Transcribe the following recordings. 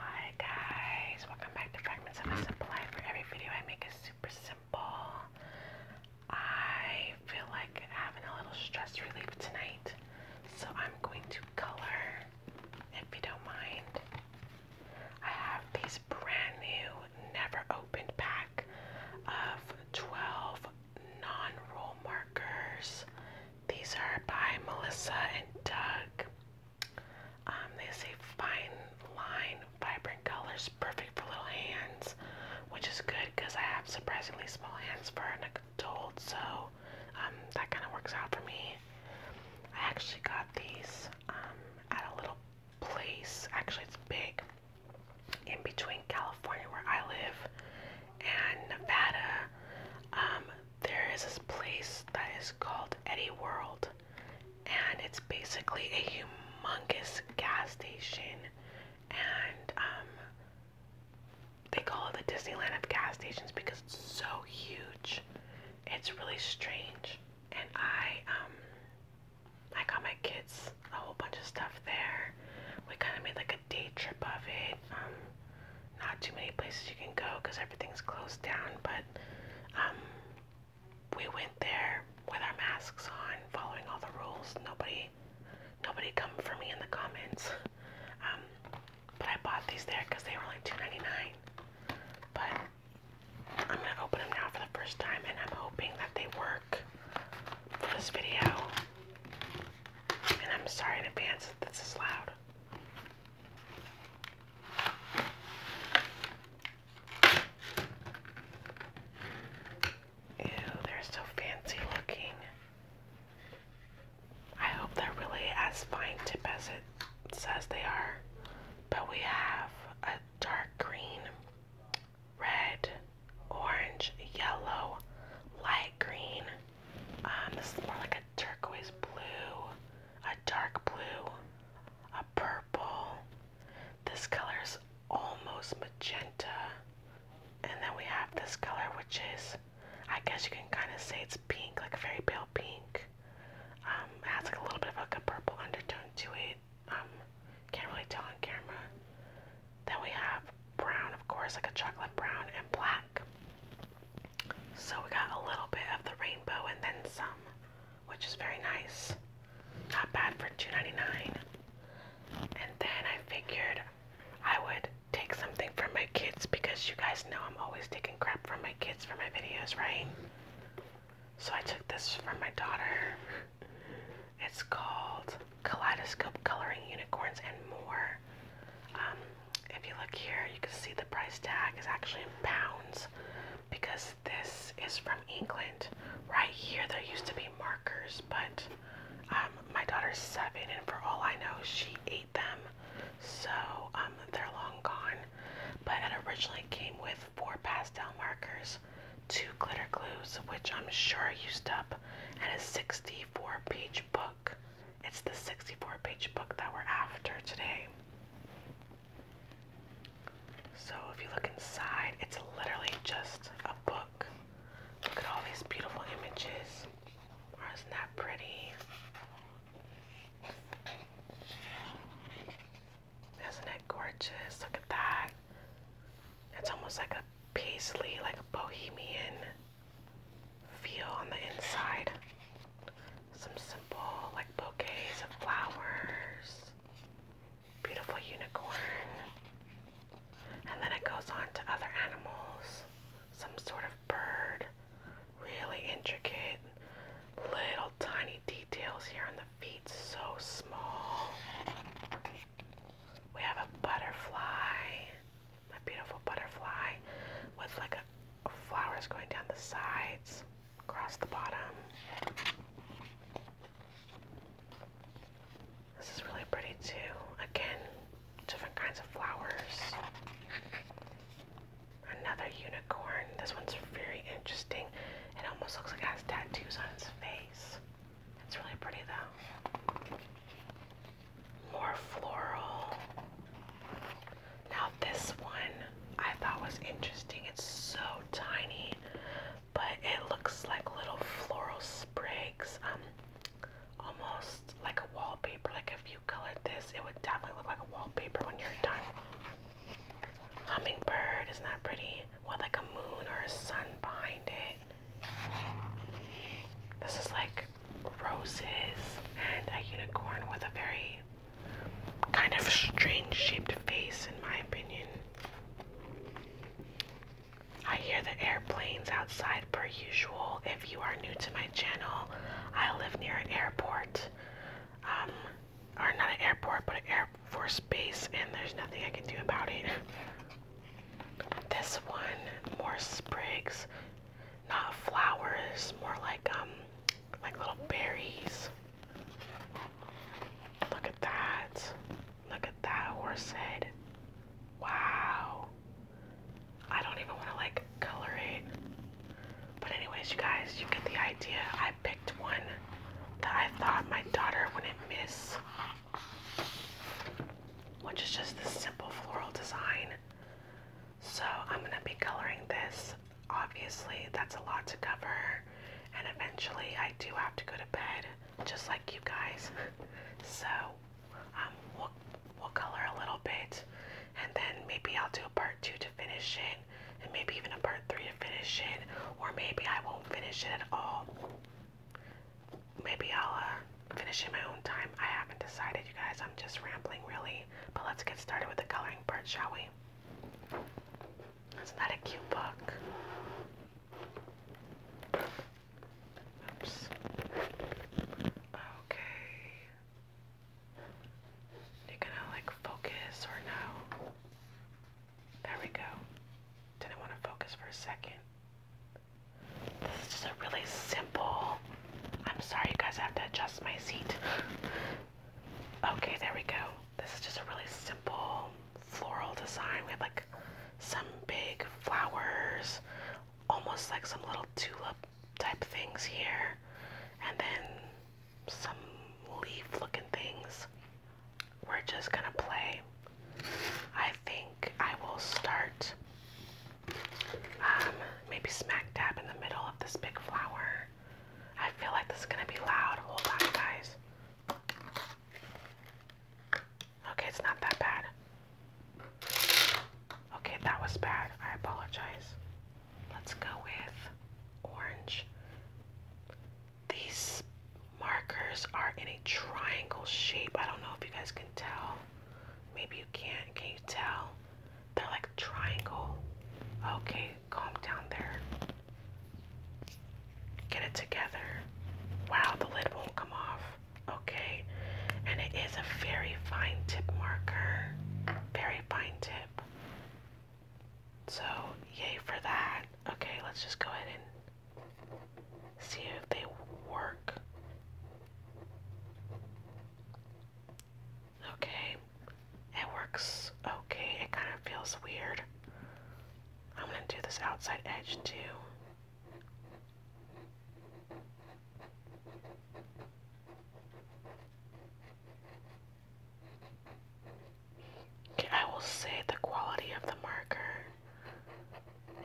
Hi guys, welcome back to Fragments of a mm. Simple Life. For every video I make is super simple. I feel like having a little stress relief tonight, so I'm going to color, if you don't mind. I have these brand new, never opened pack of 12 non-roll markers these are by Melissa and Doug. Um, they say fine line, vibrant colors, perfect for little hands, which is good because I have surprisingly small hands for an adult, so um, that kind of works out for me. I actually got these um, at a little place, actually it's big, in between California where I live and Nevada there is this place that is called Eddie World, and it's basically a humongous gas station, and um, they call it the Disneyland of gas stations because it's so huge. It's really strange, and I um, I got my kids a whole bunch of stuff there. We kind of made like a day trip of it. Um, not too many places you can go because everything's closed down. But um, we went there with our masks on, following all the rules. Nobody, nobody come for me in the comments. Um, but I bought these there because they were like two ninety nine. But I'm gonna open them now for the first time, and I'm hoping that they work for this video. And I'm sorry in advance if this is loud. Ew, they're so fancy looking. I hope they're really as fine tip as it says they are. But we have a dark green, red, orange, yellow, light green, um, this is more like a turquoise blue, a dark blue, a purple. This color is almost magenta. And then we have this color, which is, I guess you can kind of say it's pink, like a very pale pink. Um, has like a little bit of like a purple undertone to it. Um, can't really tell on camera. Then we have brown, of course, like a chocolate brown and black. So we got a little bit of the rainbow and then some, which is very nice. Not bad for 2 And then I figured I would take something from my kids because you guys know I'm always taking crap from my kids for my videos, right? So I took this from my daughter. It's called Kaleidoscope Coloring Unicorns and More dollar. Um, if you look here, you can see the price tag is actually in pounds because this is from England. Right here, there used to be markers, but um, my daughter's seven, and for all I know, she ate them, so um, they're long gone. But it originally came with four pastel markers, two glitter glues, which I'm sure I used up, and a 64 page book. It's the 64 page book that we're after today. So if you look inside, it's literally just a book. Look at all these beautiful images. isn't that pretty? Isn't it gorgeous? Look at that. It's almost like a paisley, like a bohemian feel on the inside. Some simple, like bouquets of flowers, beautiful unicorn, and then it goes on to other animals, some sort of bird, really intricate little tiny details here on the feet, so small. We have a butterfly, a beautiful butterfly with like flowers going down the sides, across the bottom. This is really pretty too. Again, different kinds of flowers. Another unicorn. This one's very interesting. It almost looks like it has tattoos on its face. It's really pretty though. More floral. Now this one I thought was interesting. It's so tiny, but it looks like little floral sprigs. Um almost like a wallpaper. Like if you colored this, it would definitely look like a wallpaper when you're done. Hummingbird, isn't that pretty? With like a moon or a sun behind it. This is like roses and a unicorn with a very kind of strange shaped face, in my opinion. I hear the airplanes outside per usual. If you are new to my channel, I live near an airport. Um, or not an airport, but an Air Force base, and there's nothing I can do about it. This one, more sprigs, not flowers, more like um like little berries. Look at that. Look at that horse head. Wow. I don't even want to like color it. But anyways, you guys, you get the idea. I picked one that I thought my daughter wouldn't miss. Which is just this simple floral design. So I'm gonna be coloring this. Obviously, that's a lot to cover, and eventually I do have to go to bed, just like you guys. so um, we'll, we'll color a little bit, and then maybe I'll do a part two to finish it, and maybe even a part three to finish it, or maybe I won't finish it at all. Maybe I'll uh, finish in my own time. I haven't decided, you guys. I'm just rambling, really. But let's get started with the coloring drawing shall we? Isn't that a cute book? Okay. you gonna like focus or no? There we go. Didn't want to focus for a second. This is just a really simple. I'm sorry, you guys have to adjust my seat. Okay, there we go. This is just a really simple floral design. We have like some big flowers, almost like some little tulip type things here, and then some leaf looking things. We're just gonna play. I think I will start um, maybe smack dab in the middle of this big flower I feel like this is gonna be loud. Hold on, guys. Okay, it's not that bad. Okay, that was bad. I apologize. Let's go with orange. These markers are in a triangle shape. I don't know if you guys can tell. Maybe you can't. Can you tell? They're like triangle. Okay, calm down there. Get it together. Wow, the lid won't come off. Okay, and it is a very fine tip marker. Very fine tip. So, yay for that. Okay, let's just go ahead and see if they work. Okay. It works okay. It kind of feels weird. I'm going to do this outside edge too. Okay, I will say the quality of the marker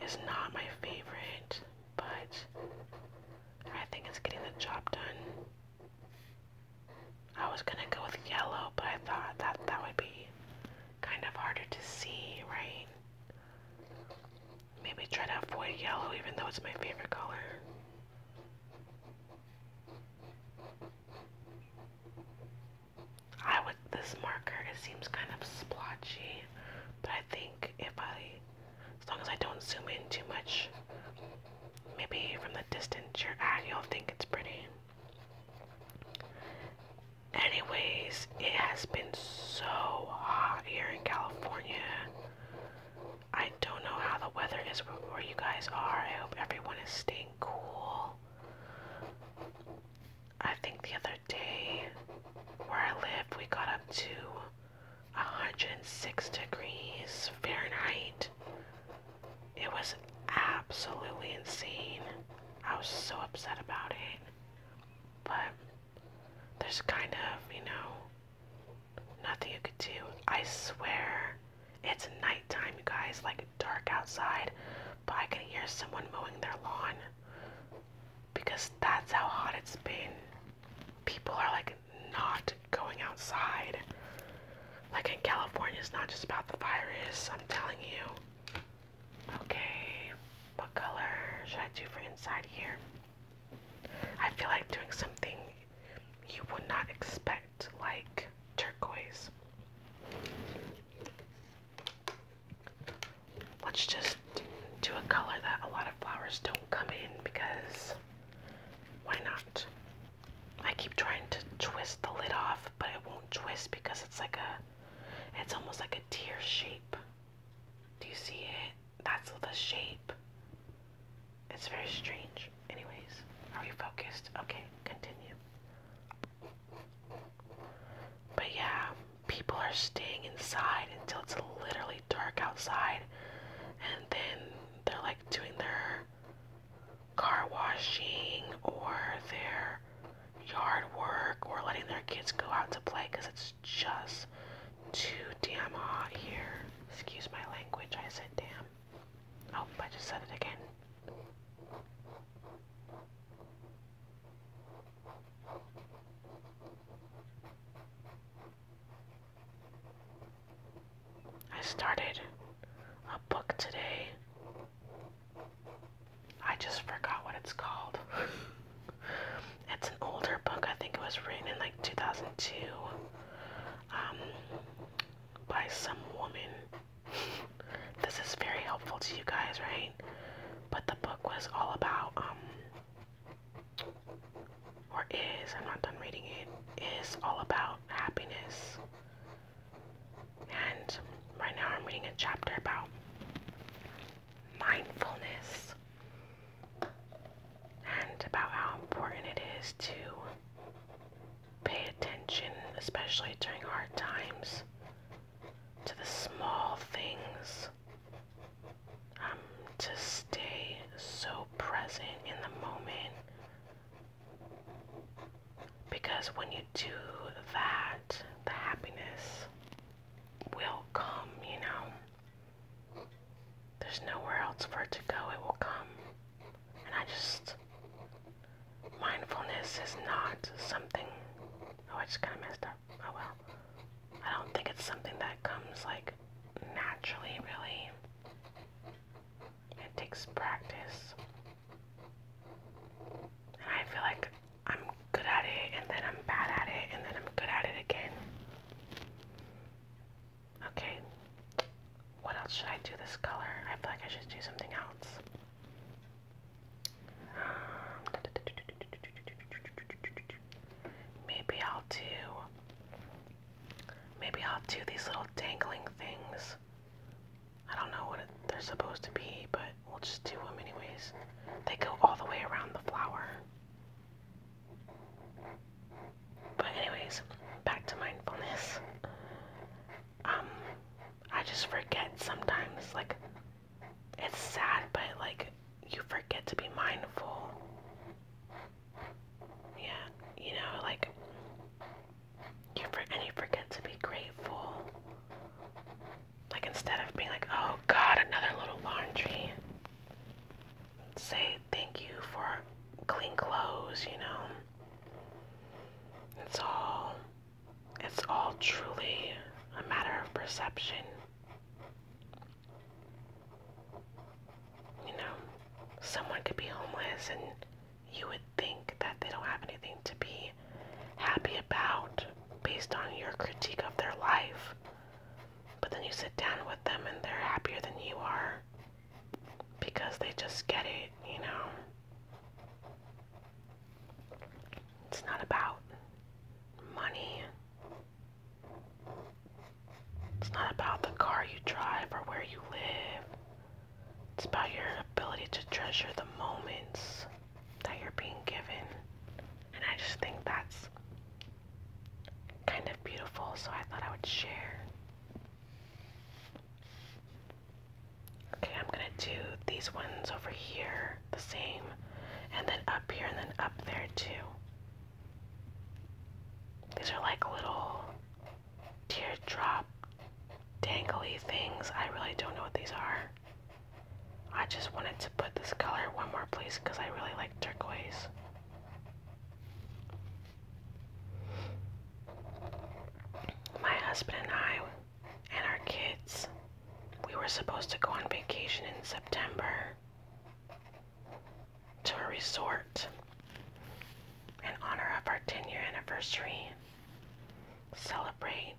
is not my favorite, but I think it's getting the job done. I was gonna go with yellow, but I thought that that would be kind of harder to see, right? Maybe try to avoid yellow even though it's my favorite color. I would, this marker, it seems kind of splotchy, but I think if I as long as I don't zoom in too much, maybe from the distance you're at, you'll think it's pretty. Anyways, it has been so hot here in California. I don't know how the weather is where you guys are. I hope everyone is staying cool. I think the other day where I lived, we got up to 106 degrees Fahrenheit. It was absolutely insane. I was so upset about it. But there's kind of, you know, nothing you could do. I swear it's nighttime, you guys, like dark outside, but I can hear someone mowing their lawn because that's how hot it's been people are like not going outside. Like in California, it's not just about the virus, I'm telling you. Okay, what color should I do for inside here? I feel like doing something you would not expect, like turquoise. Let's just do a color that a lot of flowers don't come in because why not? I keep trying to twist the lid off, but it won't twist because it's like a, it's almost like a tear shape. Do you see it? That's the shape. It's very strange. Anyways, are you focused? Okay, continue. But yeah, people are staying inside until it's literally dark outside. And then they're like doing their car washing or their yard work or letting their kids go out to play because it's just too damn hot here. Excuse my language, I said damn. Oh, I just said it again. I started a book today. I just forgot what it's called. it's an older book. I think it was written in like 2002 um, by some woman. this is very helpful to you guys, right? But the book was all about um, or is, I'm not done reading it, is all about happiness. And right now I'm reading a chapter about mindfulness and about how important it is to pay attention, especially during hard times, to the small things. Um, to stay so present in the moment because when you do that, the happiness will come, you know. There's nowhere else for it to go, it will come. And I just, mindfulness is not something, oh, I just kind of messed up. Oh well. I don't think it's something that comes like naturally, really. It takes practice. And I feel like I'm good at it, and then I'm bad at it, and then I'm good at it again. Okay, what else should I do this color? I feel like I should do something else. maybe I'll do Maybe I'll do these little dangling things. I don't know what they're supposed to be, but we'll just do them anyways. They go all the way around the flower. But anyways, back to mindfulness. Um, I just forget sometimes, like, it's sad, but like, you forget to be mindful yeah, you know, like you for and you forget to be grateful. Like instead of being like, oh God, another little laundry. Say thank you for clean clothes, you know. It's all it's all truly a matter of perception. You know, someone could be homeless and you would think that they don't have anything to be happy about based on your critique of their life. But then you sit down with them and they're happier than you are because they just get it, you know? It's not about money. It's not about the car you drive or where you live. It's about your ability to treasure the moments that you're being given. And I just think that's kind of beautiful, so I thought I would share. Okay, I'm gonna do these ones over here the same, and then up here, and then up there too. These are like little teardrop dangly things. I really don't know what these are. I just wanted to put this color one more place because I really like turquoise. My husband and I and our kids, we were supposed to go on vacation in September to a resort in honor of our 10 year anniversary. Celebrate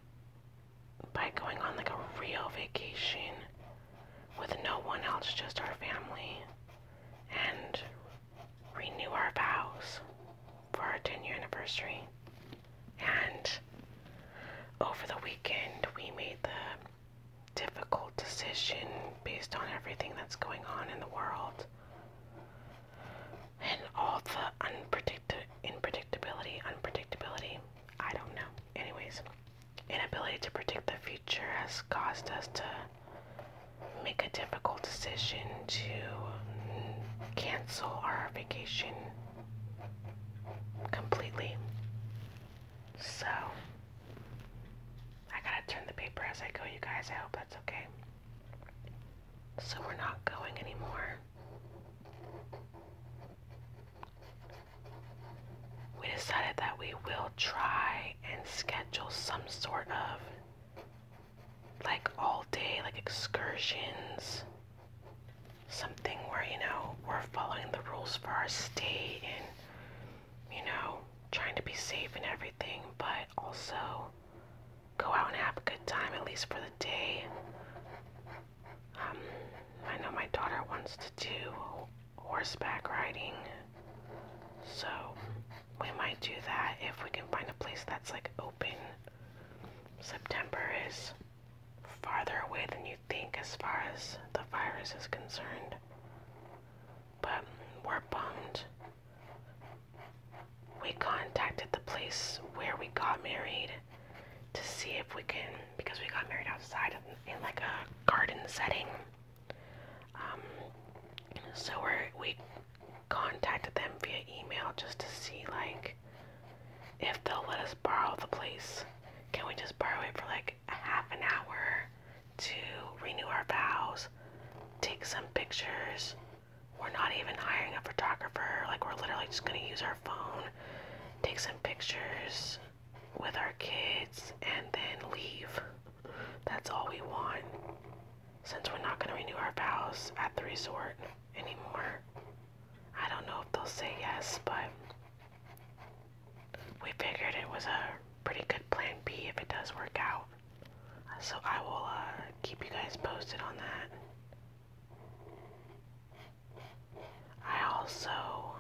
by going on like a real vacation with no one else, just our family, and renew our vows for our 10 year anniversary. And over the weekend, we made the difficult decision based on everything that's going on in the world and all the unpredictability, unpredictability. I don't know. Anyways, inability to predict the future has caused us to make a difficult decision to cancel our vacation completely. So, I gotta turn the paper as I go, you guys. I hope that's okay. So we're not going anymore. We decided that we will try and schedule some sort of like all day, like excursions, something where, you know, we're following the rules for our state and, you know, trying to be safe and everything, but also go out and have a good time, at least for the day. Um, I know my daughter wants to do horseback riding, so we might do that if we can find a place that's like open. September is farther away than you think as far as the virus is concerned, but we're bummed we contacted the place where we got married to see if we can, because we got married outside in like a garden setting. Um, so we we contacted them via email just to see like if they'll let us borrow the place. Can we just borrow it for like a half an hour to renew our vows, take some pictures, we're not even hiring a photographer. Like, we're literally just gonna use our phone, take some pictures with our kids, and then leave. That's all we want. Since we're not gonna renew our vows at the resort anymore. I don't know if they'll say yes, but we figured it was a pretty good plan B if it does work out. So I will uh, keep you guys posted on that. I also,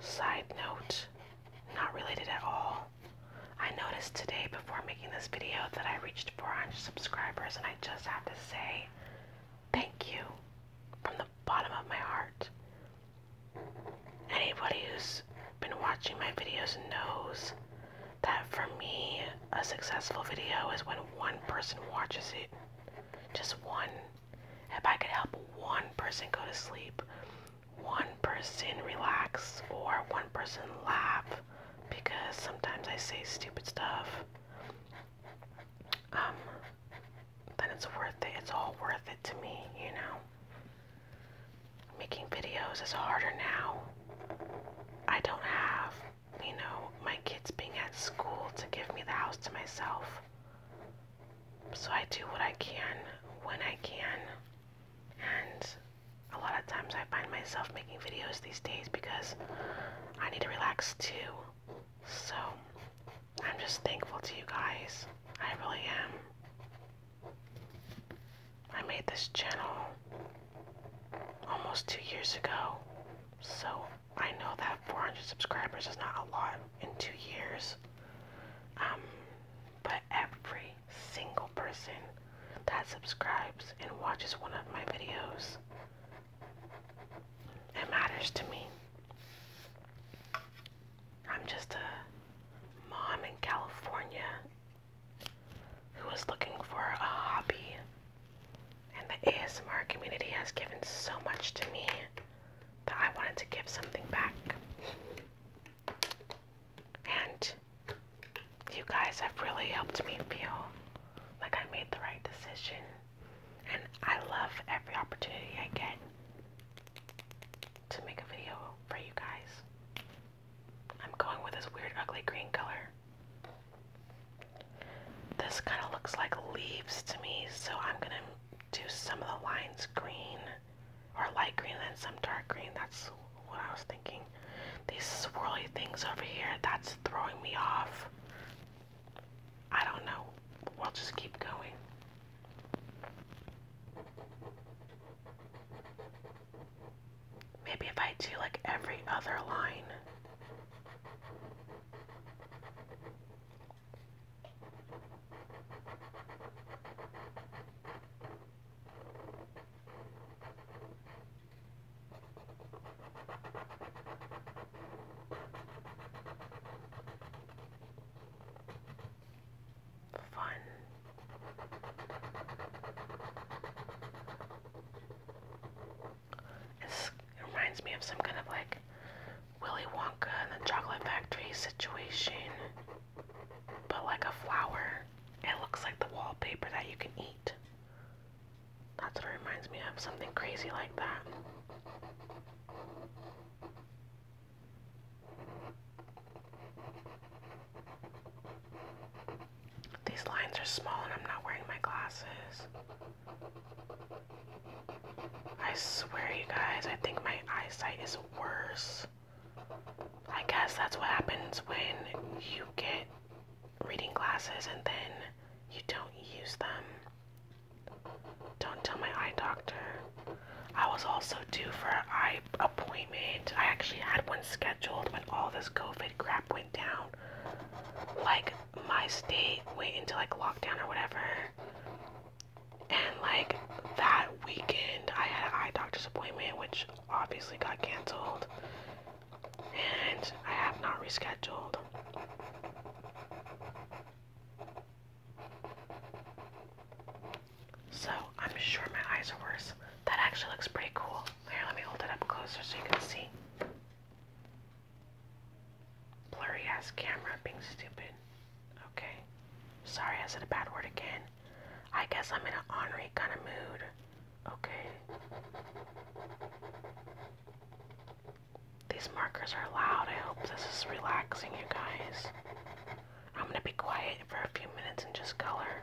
side note, not related at all, I noticed today before making this video that I reached 400 subscribers and I just have to say thank you from the bottom of my heart. Anybody who's been watching my videos knows that for me, a successful video is when one person watches it. Just one. If I could help one person go to sleep, one person relax, or one person laugh, because sometimes I say stupid stuff, um, then it's worth it. It's all worth it to me, you know? making videos is harder now. I don't have, you know, my kids being at school to give me the house to myself. So I do what I can when I can. And a lot of times I find myself making videos these days because I need to relax too. So I'm just thankful to you guys. I really am. I made this channel almost two years ago. So I know that 400 subscribers is not a lot in two years. Um, but every single person that subscribes and watches one of my videos, it matters to me. I'm just a mom in California who was looking for a hobby. And the ASMR community has given so much to me that I wanted to give something back. And you guys have really helped me feel like I made the right decision. And I love every opportunity I get to make a video for you guys. I'm going with this weird ugly green color. This kind of looks like leaves to me, so I'm gonna do some of the lines green or light green then some dark green. That's what I was thinking. These swirly things over here, that's throwing me off. I don't know. We'll just keep going. Maybe if I do like every other line. Fun. It's, reminds me of some kind of like Willy Wonka and the Chocolate Factory situation, but like a flower. It looks like the wallpaper that you can eat. That's what it reminds me of, something crazy like that. These lines are small and I'm not wearing my glasses. I swear, you guys, I think my eyesight is worse. I guess that's what happens when you get reading glasses and then you don't use them. Don't tell my eye doctor. I was also due for an eye appointment. I actually had one scheduled when all this COVID crap went down, like my state went into like lockdown or whatever. And like that weekend, I had an eye doctor's appointment, which obviously got canceled. And I have not rescheduled. So I'm sure my eyes are worse. That actually looks pretty cool. Here, let me hold it up closer so you can see. Blurry ass camera being stupid. Okay. Sorry, I said a bad word again. I guess I'm in an ornery kind of mood. Okay. These markers are loud. I hope this is relaxing, you guys. I'm gonna be quiet for a few minutes and just color.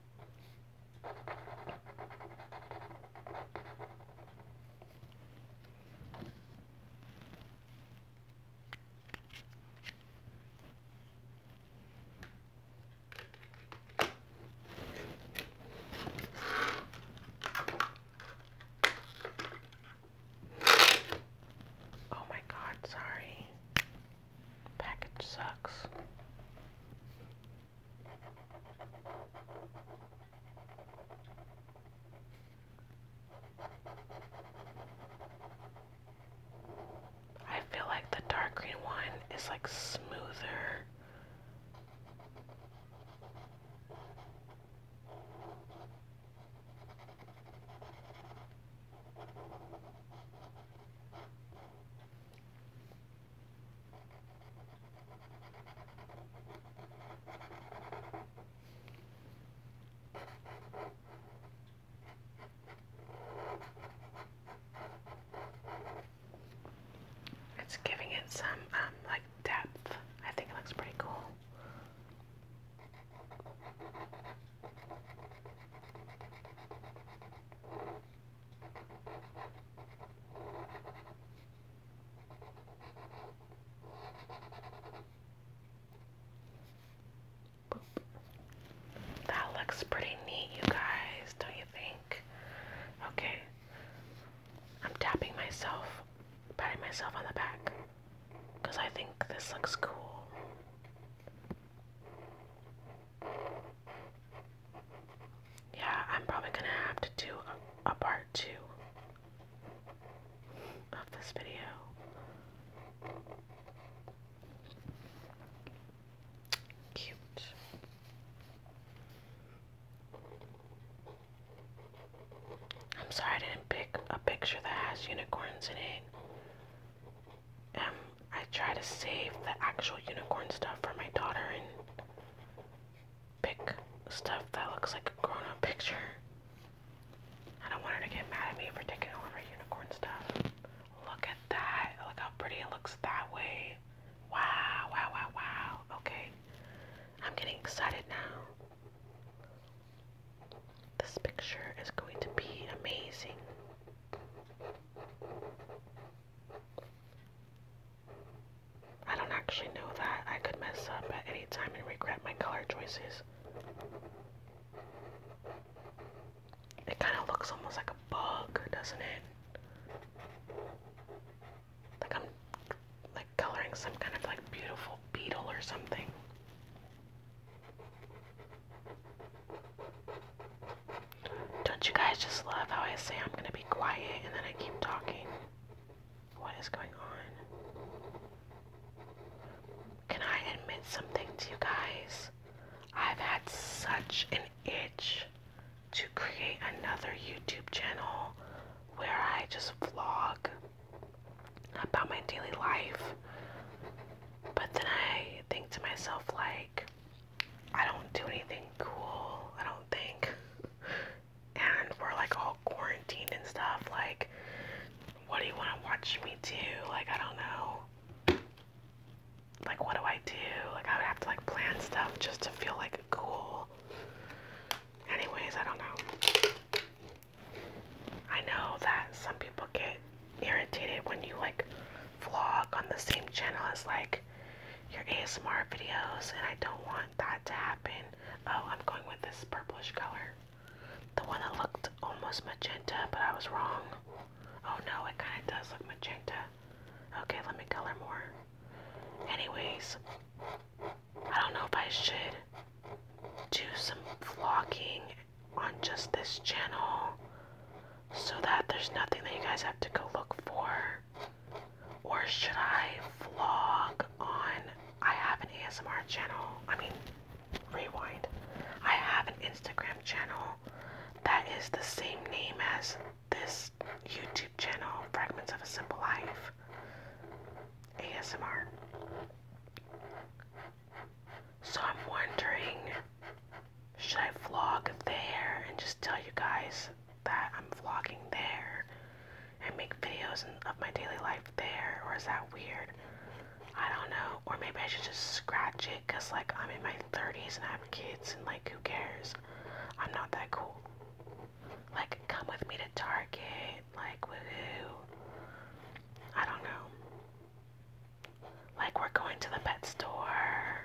Oh my god, sorry. Package sucks. I feel like the dark green one is like smoother. It's giving it some um, like depth. I think it looks pretty cool. That looks pretty neat, you guys, don't you think? Okay. I'm tapping myself, patting myself on the back, because I think this looks cool. Yeah, I'm probably gonna have to do a, part two of this video. Cute. I'm sorry I didn't pick a picture that has unicorns in it. Um, I try to save the actual unicorn stuff for my daughter and pick stuff that looks like a grown-up picture. I don't want her to get mad at me for taking all of her unicorn stuff. Look at that. Look how pretty it looks that way. Wow, wow, wow, wow. Okay. I'm getting excited now. This picture is going to be amazing. I don't actually know that. I could mess up at any time and regret my color choices. It kind of looks almost like a bug, doesn't it? Like I'm like coloring some kind of like beautiful beetle or something. Don't you guys just love how I say I'm gonna be quiet and then I keep talking? What is going on? Can I admit something to you guys? I've had such an itch to create another YouTube channel where I just vlog about my daily life. But then I think to myself, like, I don't do anything cool, I don't think. And we're like all quarantined and stuff. Like, what do you want to watch me do? Like, I don't know. Like, what do I do? Like, I would have to like plan stuff just to feel like cool. Anyways, I don't know. I know that some people get irritated when you like vlog on the same channel as like your ASMR videos, and I don't want that to happen. Oh, I'm going with this purplish color. The one that looked almost magenta, but I was wrong. Oh no, it kind of does look magenta. Okay, let me color more. Anyways, I don't know if I should do some vlogging on just this channel so that there's nothing that you guys have to go look for? Or should I vlog on? I have an ASMR channel. I mean, rewind. I have an Instagram channel that is the same name as this YouTube channel, Fragments of a Simple Life ASMR. So I'm wondering, should I vlog there and just tell you guys that I'm vlogging there and make videos of my daily life there, or is that weird? I don't know. Or maybe I should just scratch it because, like, I'm in my 30s and I have kids, and, like, who cares? I'm not that cool. Like, come with me to Target. Like, woohoo. I don't know. Like, we're going to the pet store.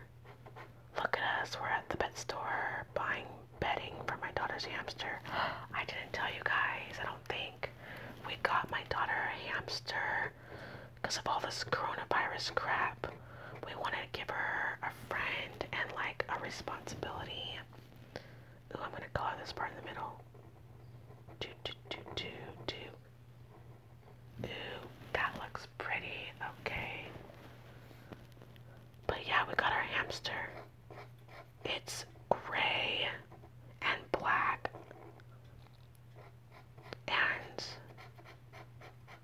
Look at us, we're at the pet store buying bedding for my daughter's hamster. I didn't tell you guys, I don't think. We got my daughter a hamster because of all this coronavirus crap. We wanted to give her a friend and like a responsibility. Ooh, I'm gonna color this part in the middle. Do, do, do, do, do. that looks pretty, okay. But yeah, we got our hamster. It's gray and black. And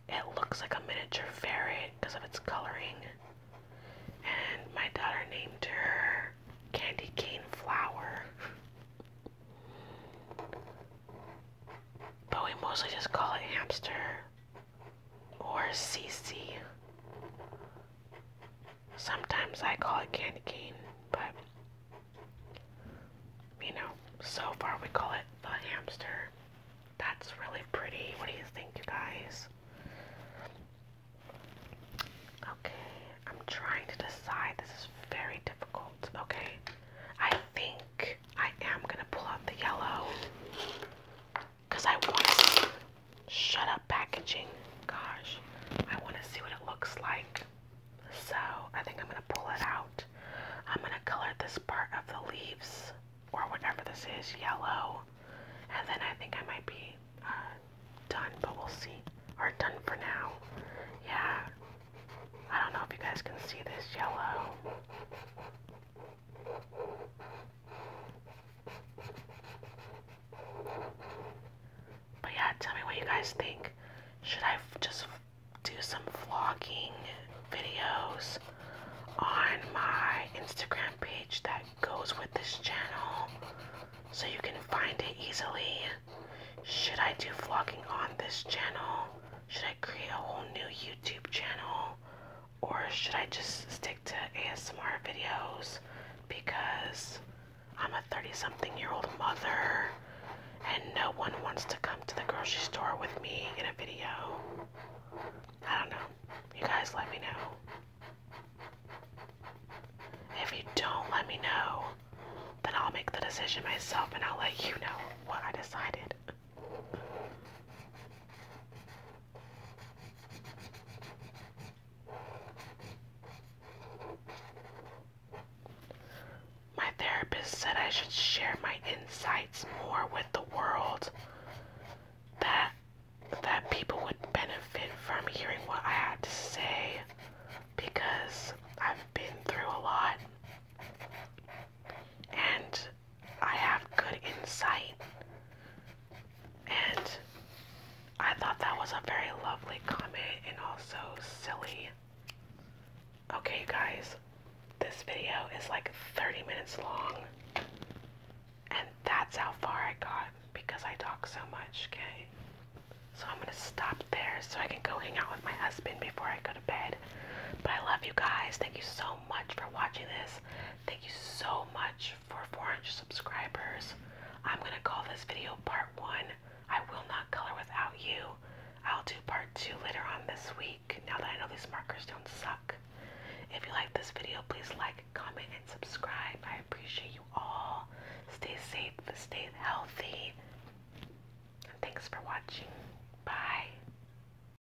it looks like a miniature ferret because of its coloring. And my daughter named her Candy Cane Flower. But we mostly just call it hamster or CC. Sometimes I call it candy cane, but you know, so far we call it the hamster. That's really pretty. What do you think, you guys? Okay, I'm trying to decide. This is very difficult. Okay, I think I am gonna pull out the yellow because I want to see. Shut up, packaging. Gosh, I want to see what it looks like. So I think I'm gonna pull it out. I'm gonna color this part of the leaves or whatever this is yellow, and then I think I might be uh, done, but we'll see. Or done for now. Yeah. I don't know if you guys can see this yellow. But yeah, tell me what you guys think. Should I just do some vlogging videos on my Instagram page that goes with this channel so you can find it easily? Should I do vlogging on this channel? Should I create a whole new YouTube channel? or should I just stick to ASMR videos because I'm a 30 something year old mother and no one wants to come to the grocery store with me in a video? I don't know. You guys let me know. If you don't let me know, then I'll make the decision myself and I'll let you know what I decided. My therapist said I should share my insights more with the world. That that people would benefit from hearing what I had to say because I've been through a lot. And I have good insight. And I thought that was a very lovely comment and also silly. Okay, guys, this video is like 30 minutes long. And that's how far I got because I talk so much, okay? So I'm gonna stop there so I can go hang out with my husband before I go to bed. But I love you guys. Thank you so much for watching this. Thank you so much for 400 subscribers. I'm going to call this video part one. I will not color without you. I'll do part two later on this week now that I know these markers don't suck. If you like this video, please like, comment, and subscribe. I appreciate you all. Stay safe, stay healthy. And thanks for watching. Bye.